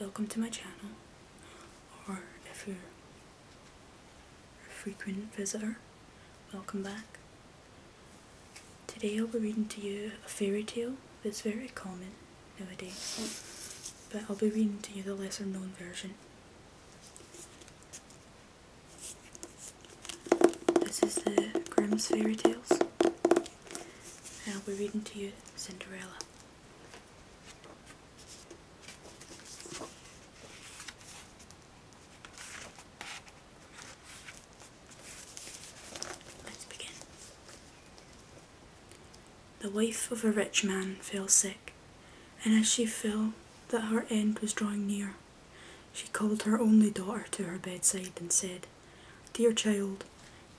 welcome to my channel, or if you're a frequent visitor, welcome back. Today I'll be reading to you a fairy tale that's very common nowadays, but I'll be reading to you the lesser known version. This is the Grimm's Fairy Tales, and I'll be reading to you Cinderella. Let's begin. The wife of a rich man fell sick, and as she fell that her end was drawing near, she called her only daughter to her bedside and said, Dear child,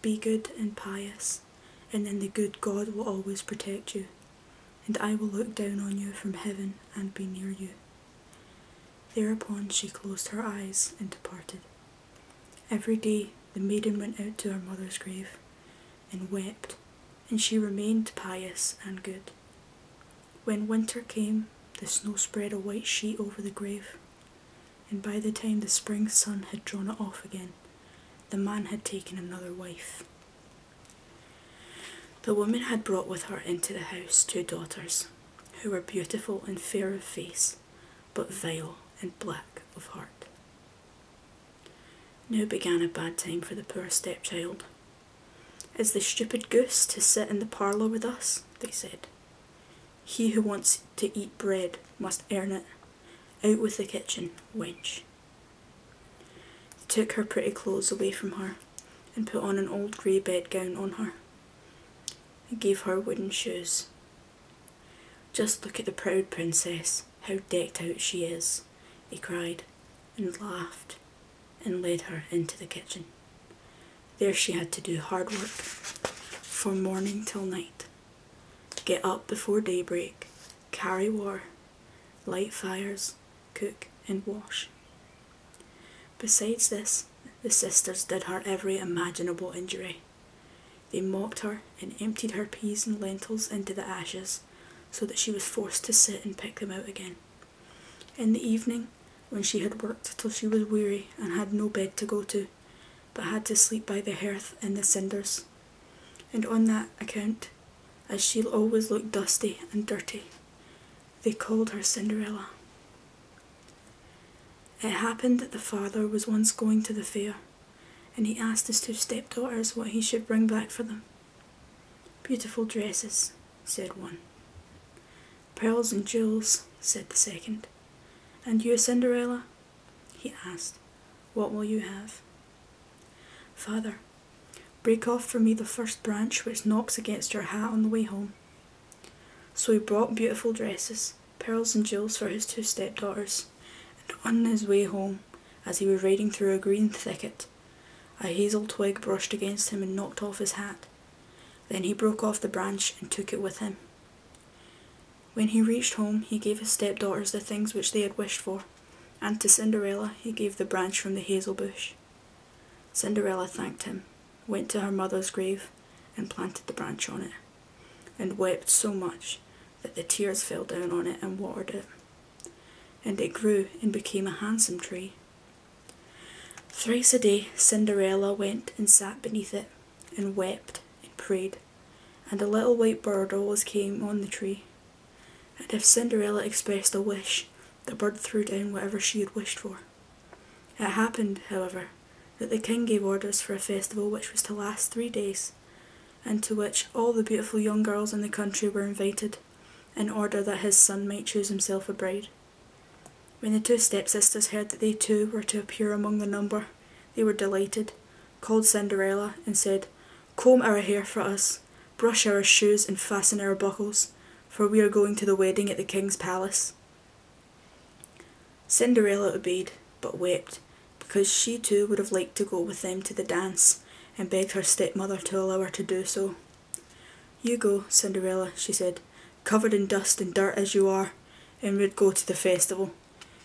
be good and pious, and then the good God will always protect you, and I will look down on you from heaven and be near you. Thereupon she closed her eyes and departed. Every day the maiden went out to her mother's grave and wept, and she remained pious and good. When winter came, the snow spread a white sheet over the grave, and by the time the spring sun had drawn it off again, the man had taken another wife. The woman had brought with her into the house two daughters, who were beautiful and fair of face, but vile and black of heart. Now began a bad time for the poor stepchild. Is the stupid goose to sit in the parlour with us? they said. He who wants to eat bread, must earn it. Out with the kitchen, wench. He took her pretty clothes away from her and put on an old grey bedgown on her. And gave her wooden shoes. Just look at the proud princess, how decked out she is, he cried, and laughed, and led her into the kitchen. There she had to do hard work, from morning till night. Get up before daybreak, carry war, light fires, cook and wash. Besides this, the sisters did her every imaginable injury. They mopped her and emptied her peas and lentils into the ashes so that she was forced to sit and pick them out again. In the evening, when she had worked till she was weary and had no bed to go to, but had to sleep by the hearth in the cinders, and on that account, as she always looked dusty and dirty, they called her Cinderella. It happened that the father was once going to the fair, and he asked his two stepdaughters what he should bring back for them. Beautiful dresses, said one. Pearls and jewels, said the second. And you, Cinderella? He asked, What will you have? Father, break off for me the first branch which knocks against your hat on the way home. So he brought beautiful dresses, pearls and jewels for his two stepdaughters, and on his way home, as he was riding through a green thicket, a hazel twig brushed against him and knocked off his hat. Then he broke off the branch and took it with him, when he reached home, he gave his stepdaughters the things which they had wished for, and to Cinderella he gave the branch from the hazel bush. Cinderella thanked him, went to her mother's grave, and planted the branch on it, and wept so much that the tears fell down on it and watered it. And it grew and became a handsome tree. Thrice a day Cinderella went and sat beneath it, and wept and prayed, and a little white bird always came on the tree. And if Cinderella expressed a wish, the bird threw down whatever she had wished for. It happened, however, that the king gave orders for a festival which was to last three days, and to which all the beautiful young girls in the country were invited, in order that his son might choose himself a bride. When the two step sisters heard that they too were to appear among the number, they were delighted, called Cinderella, and said, Comb our hair for us, brush our shoes, and fasten our buckles, for we are going to the wedding at the king's palace. Cinderella obeyed, but wept, because she too would have liked to go with them to the dance, and begged her stepmother to allow her to do so. You go, Cinderella, she said, covered in dust and dirt as you are, and would go to the festival.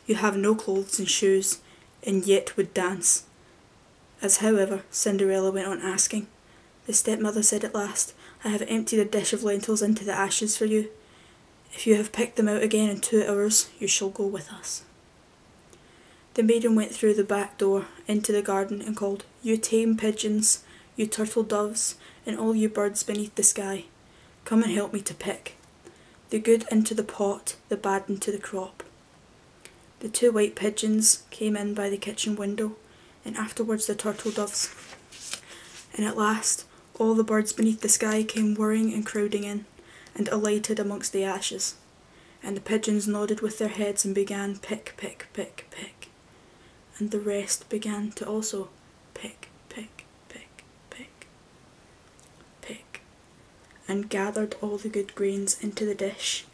You have no clothes and shoes, and yet would dance. As however, Cinderella went on asking. The stepmother said at last, I have emptied a dish of lentils into the ashes for you. If you have picked them out again in two hours, you shall go with us. The maiden went through the back door into the garden and called, You tame pigeons, you turtle doves, and all you birds beneath the sky, come and help me to pick the good into the pot, the bad into the crop. The two white pigeons came in by the kitchen window, and afterwards the turtle doves. And at last, all the birds beneath the sky came whirring and crowding in, and alighted amongst the ashes. And the pigeons nodded with their heads and began pick, pick, pick, pick and the rest began to also pick, pick, pick, pick, pick, and gathered all the good grains into the dish.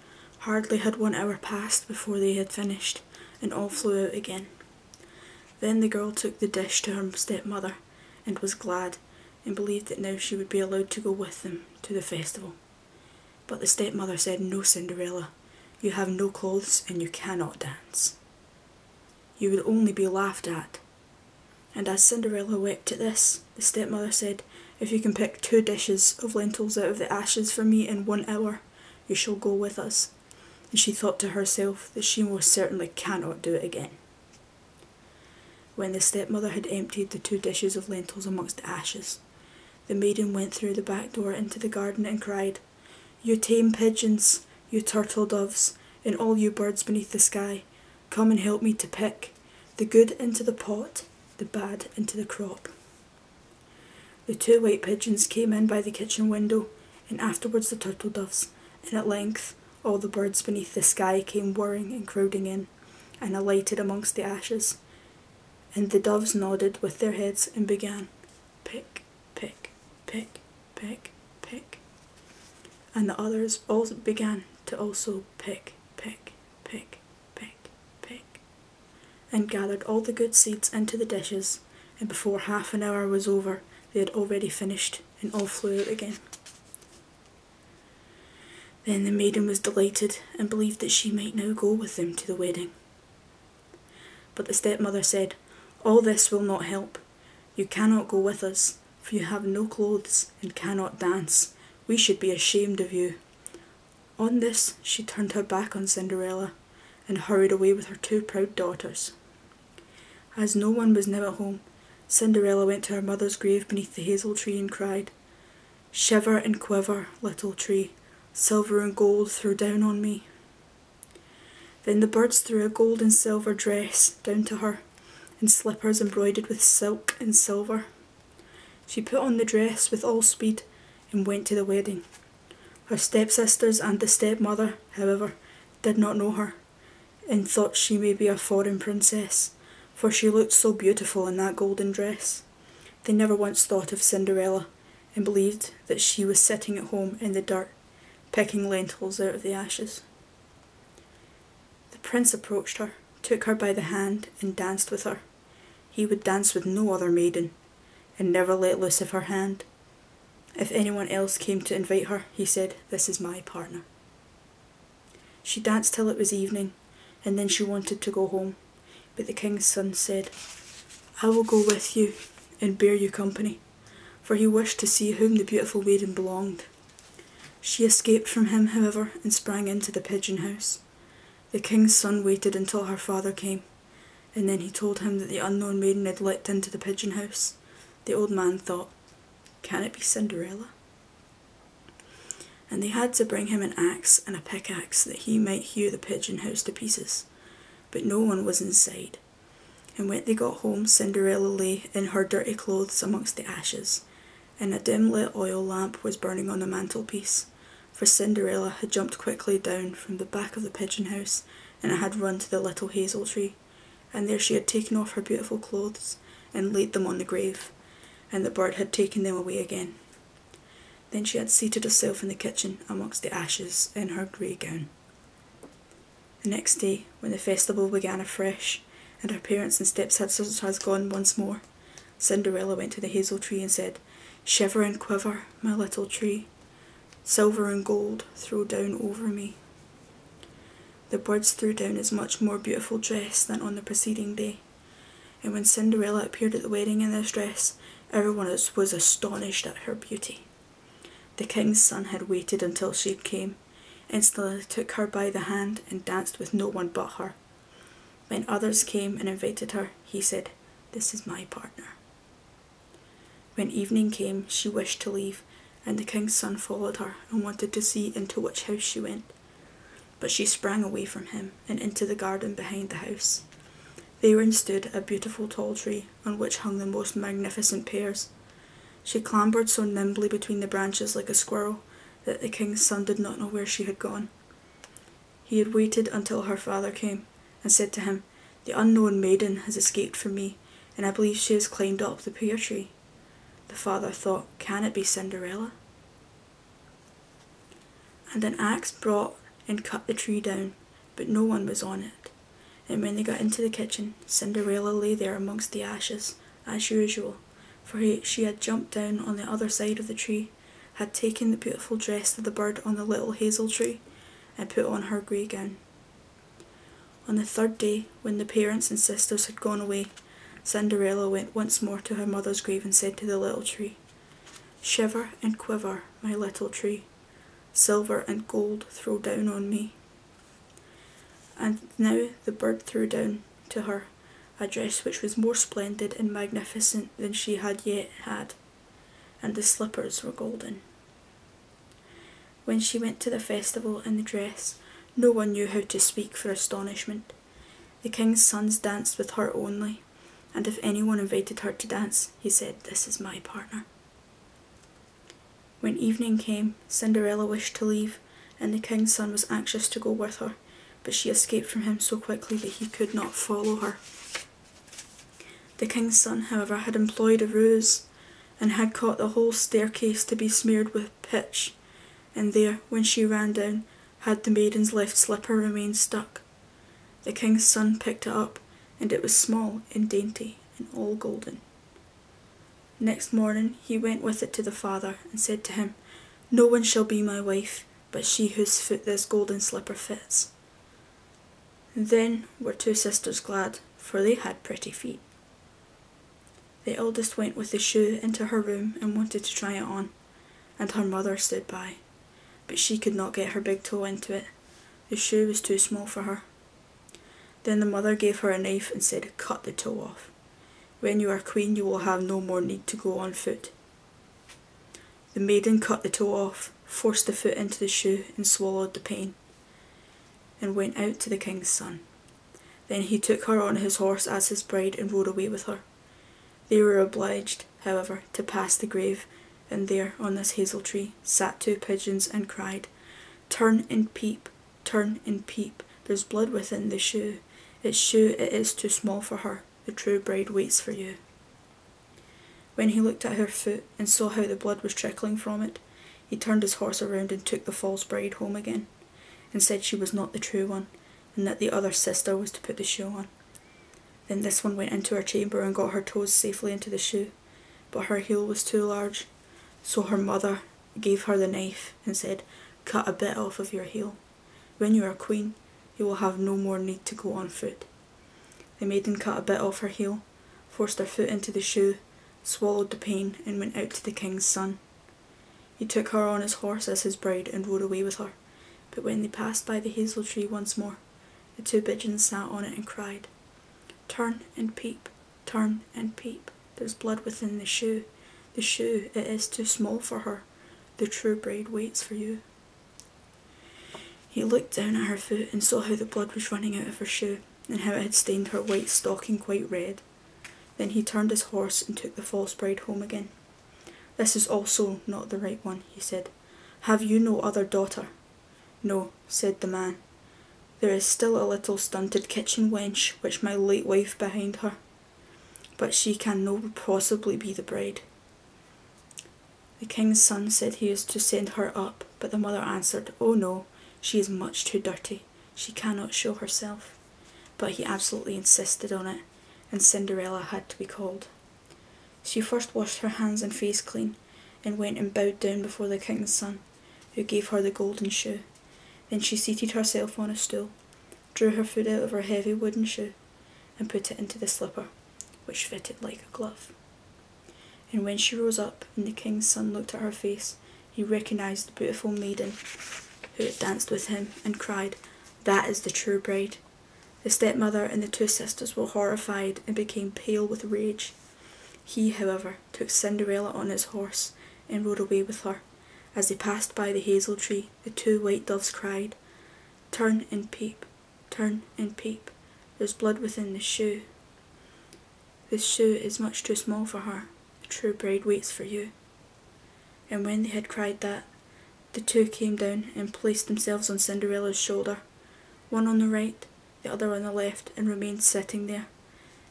Hardly had one hour passed before they had finished, and all flew out again. Then the girl took the dish to her stepmother, and was glad, and believed that now she would be allowed to go with them to the festival. But the stepmother said, No, Cinderella, you have no clothes and you cannot dance. You will only be laughed at. And as Cinderella wept at this, the stepmother said, If you can pick two dishes of lentils out of the ashes for me in one hour, you shall go with us. And she thought to herself that she most certainly cannot do it again. When the stepmother had emptied the two dishes of lentils amongst the ashes, the maiden went through the back door into the garden and cried, you tame pigeons, you turtle doves, and all you birds beneath the sky, come and help me to pick the good into the pot, the bad into the crop. The two white pigeons came in by the kitchen window, and afterwards the turtle doves, and at length all the birds beneath the sky came whirring and crowding in, and alighted amongst the ashes. And the doves nodded with their heads and began pick, pick, pick, pick, pick. And the others also began to also pick, pick, pick, pick, pick, and gathered all the good seeds into the dishes, and before half an hour was over, they had already finished and all flew out again. Then the maiden was delighted and believed that she might now go with them to the wedding. But the stepmother said, All this will not help. You cannot go with us, for you have no clothes and cannot dance. We should be ashamed of you. On this, she turned her back on Cinderella and hurried away with her two proud daughters. As no one was now at home, Cinderella went to her mother's grave beneath the hazel tree and cried, Shiver and quiver, little tree, silver and gold threw down on me. Then the birds threw a gold and silver dress down to her, and slippers embroidered with silk and silver. She put on the dress with all speed and went to the wedding. Her stepsisters and the stepmother, however, did not know her, and thought she may be a foreign princess, for she looked so beautiful in that golden dress. They never once thought of Cinderella and believed that she was sitting at home in the dark, picking lentils out of the ashes. The prince approached her, took her by the hand, and danced with her. He would dance with no other maiden, and never let loose of her hand. If anyone else came to invite her, he said, This is my partner. She danced till it was evening, and then she wanted to go home. But the king's son said, I will go with you and bear you company, for he wished to see whom the beautiful maiden belonged. She escaped from him, however, and sprang into the pigeon house. The king's son waited until her father came, and then he told him that the unknown maiden had leapt into the pigeon house. The old man thought, Can it be Cinderella? And they had to bring him an axe and a pickaxe that he might hew the pigeon house to pieces. But no one was inside. And when they got home, Cinderella lay in her dirty clothes amongst the ashes, and a dim lit oil lamp was burning on the mantelpiece, for Cinderella had jumped quickly down from the back of the pigeon house and had run to the little hazel tree, and there she had taken off her beautiful clothes and laid them on the grave, and the bird had taken them away again. Then she had seated herself in the kitchen amongst the ashes in her grey gown. The next day, when the festival began afresh, and her parents and stepsisters had gone once more, Cinderella went to the hazel tree and said, Shiver and quiver, my little tree, silver and gold throw down over me. The birds threw down as much more beautiful dress than on the preceding day, and when Cinderella appeared at the wedding in this dress, everyone was astonished at her beauty. The king's son had waited until she came, instantly took her by the hand and danced with no one but her. When others came and invited her, he said, This is my partner. When evening came, she wished to leave, and the king's son followed her and wanted to see into which house she went. But she sprang away from him and into the garden behind the house. Therein stood a beautiful tall tree on which hung the most magnificent pears. She clambered so nimbly between the branches like a squirrel that the king's son did not know where she had gone. He had waited until her father came and said to him, The unknown maiden has escaped from me, and I believe she has climbed up the pear tree. The father thought, Can it be Cinderella? And an axe brought and cut the tree down, but no one was on it. And when they got into the kitchen, Cinderella lay there amongst the ashes, as usual, for she had jumped down on the other side of the tree, had taken the beautiful dress of the bird on the little hazel tree, and put on her grey gown. On the third day, when the parents and sisters had gone away, Cinderella went once more to her mother's grave and said to the little tree, Shiver and quiver, my little tree, silver and gold throw down on me. And now the bird threw down to her a dress which was more splendid and magnificent than she had yet had, and the slippers were golden. When she went to the festival in the dress, no one knew how to speak for astonishment. The king's sons danced with her only, and if anyone invited her to dance, he said, This is my partner. When evening came, Cinderella wished to leave, and the king's son was anxious to go with her, but she escaped from him so quickly that he could not follow her. The king's son, however, had employed a ruse and had caught the whole staircase to be smeared with pitch, and there, when she ran down, had the maiden's left slipper remained stuck. The king's son picked it up, and it was small and dainty and all golden. Next morning he went with it to the father and said to him, No one shall be my wife but she whose foot this golden slipper fits. Then were two sisters glad, for they had pretty feet. The eldest went with the shoe into her room and wanted to try it on, and her mother stood by, but she could not get her big toe into it. The shoe was too small for her. Then the mother gave her a knife and said, Cut the toe off. When you are queen, you will have no more need to go on foot. The maiden cut the toe off, forced the foot into the shoe, and swallowed the pain, and went out to the king's son. Then he took her on his horse as his bride and rode away with her. They were obliged, however, to pass the grave, and there, on this hazel tree, sat two pigeons and cried, Turn and peep, turn and peep, there's blood within the shoe. Its shoe it is too small for her, the true bride waits for you. When he looked at her foot and saw how the blood was trickling from it, he turned his horse around and took the false bride home again and said she was not the true one, and that the other sister was to put the shoe on. Then this one went into her chamber and got her toes safely into the shoe, but her heel was too large, so her mother gave her the knife and said, Cut a bit off of your heel. When you are queen, you will have no more need to go on foot. The maiden cut a bit off her heel, forced her foot into the shoe, swallowed the pain, and went out to the king's son. He took her on his horse as his bride and rode away with her. But when they passed by the hazel tree once more, the two pigeons sat on it and cried, Turn and peep, turn and peep, there's blood within the shoe. The shoe, it is too small for her. The true bride waits for you. He looked down at her foot and saw how the blood was running out of her shoe and how it had stained her white stocking quite red. Then he turned his horse and took the false bride home again. This is also not the right one, he said. Have you no other daughter? No, said the man. There is still a little stunted kitchen wench which my late wife behind her, but she can no possibly be the bride. The king's son said he is to send her up but the mother answered, Oh no, she is much too dirty. She cannot show herself. But he absolutely insisted on it, and Cinderella had to be called. She first washed her hands and face clean, and went and bowed down before the king's son, who gave her the golden shoe. Then she seated herself on a stool, drew her foot out of her heavy wooden shoe, and put it into the slipper, which fitted like a glove. And when she rose up, and the king's son looked at her face, he recognised the beautiful maiden who had danced with him and cried, That is the true bride. The stepmother and the two sisters were horrified and became pale with rage. He, however, took Cinderella on his horse and rode away with her. As they passed by the hazel tree, the two white doves cried, Turn and peep, turn and peep, there's blood within the shoe. This shoe is much too small for her. The true bride waits for you. And when they had cried that, the two came down and placed themselves on Cinderella's shoulder, one on the right, the other on the left, and remained sitting there.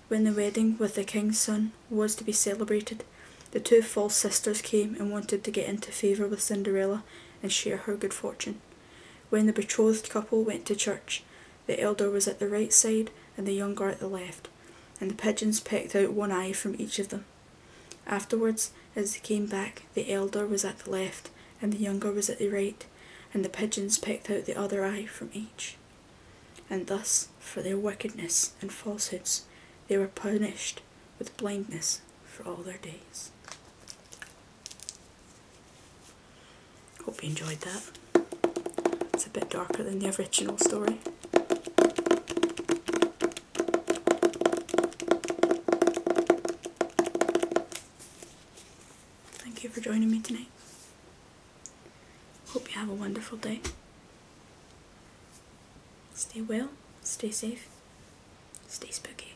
When the wedding with the king's son was to be celebrated, the two false sisters came and wanted to get into favour with Cinderella and share her good fortune. When the betrothed couple went to church, the elder was at the right side, and the younger at the left, and the pigeons pecked out one eye from each of them. Afterwards, as they came back, the elder was at the left, and the younger was at the right, and the pigeons pecked out the other eye from each. And thus, for their wickedness and falsehoods, they were punished with blindness for all their days. Hope you enjoyed that. It's a bit darker than the original story. Thank you for joining me tonight. Hope you have a wonderful day. Stay well, stay safe, stay spooky.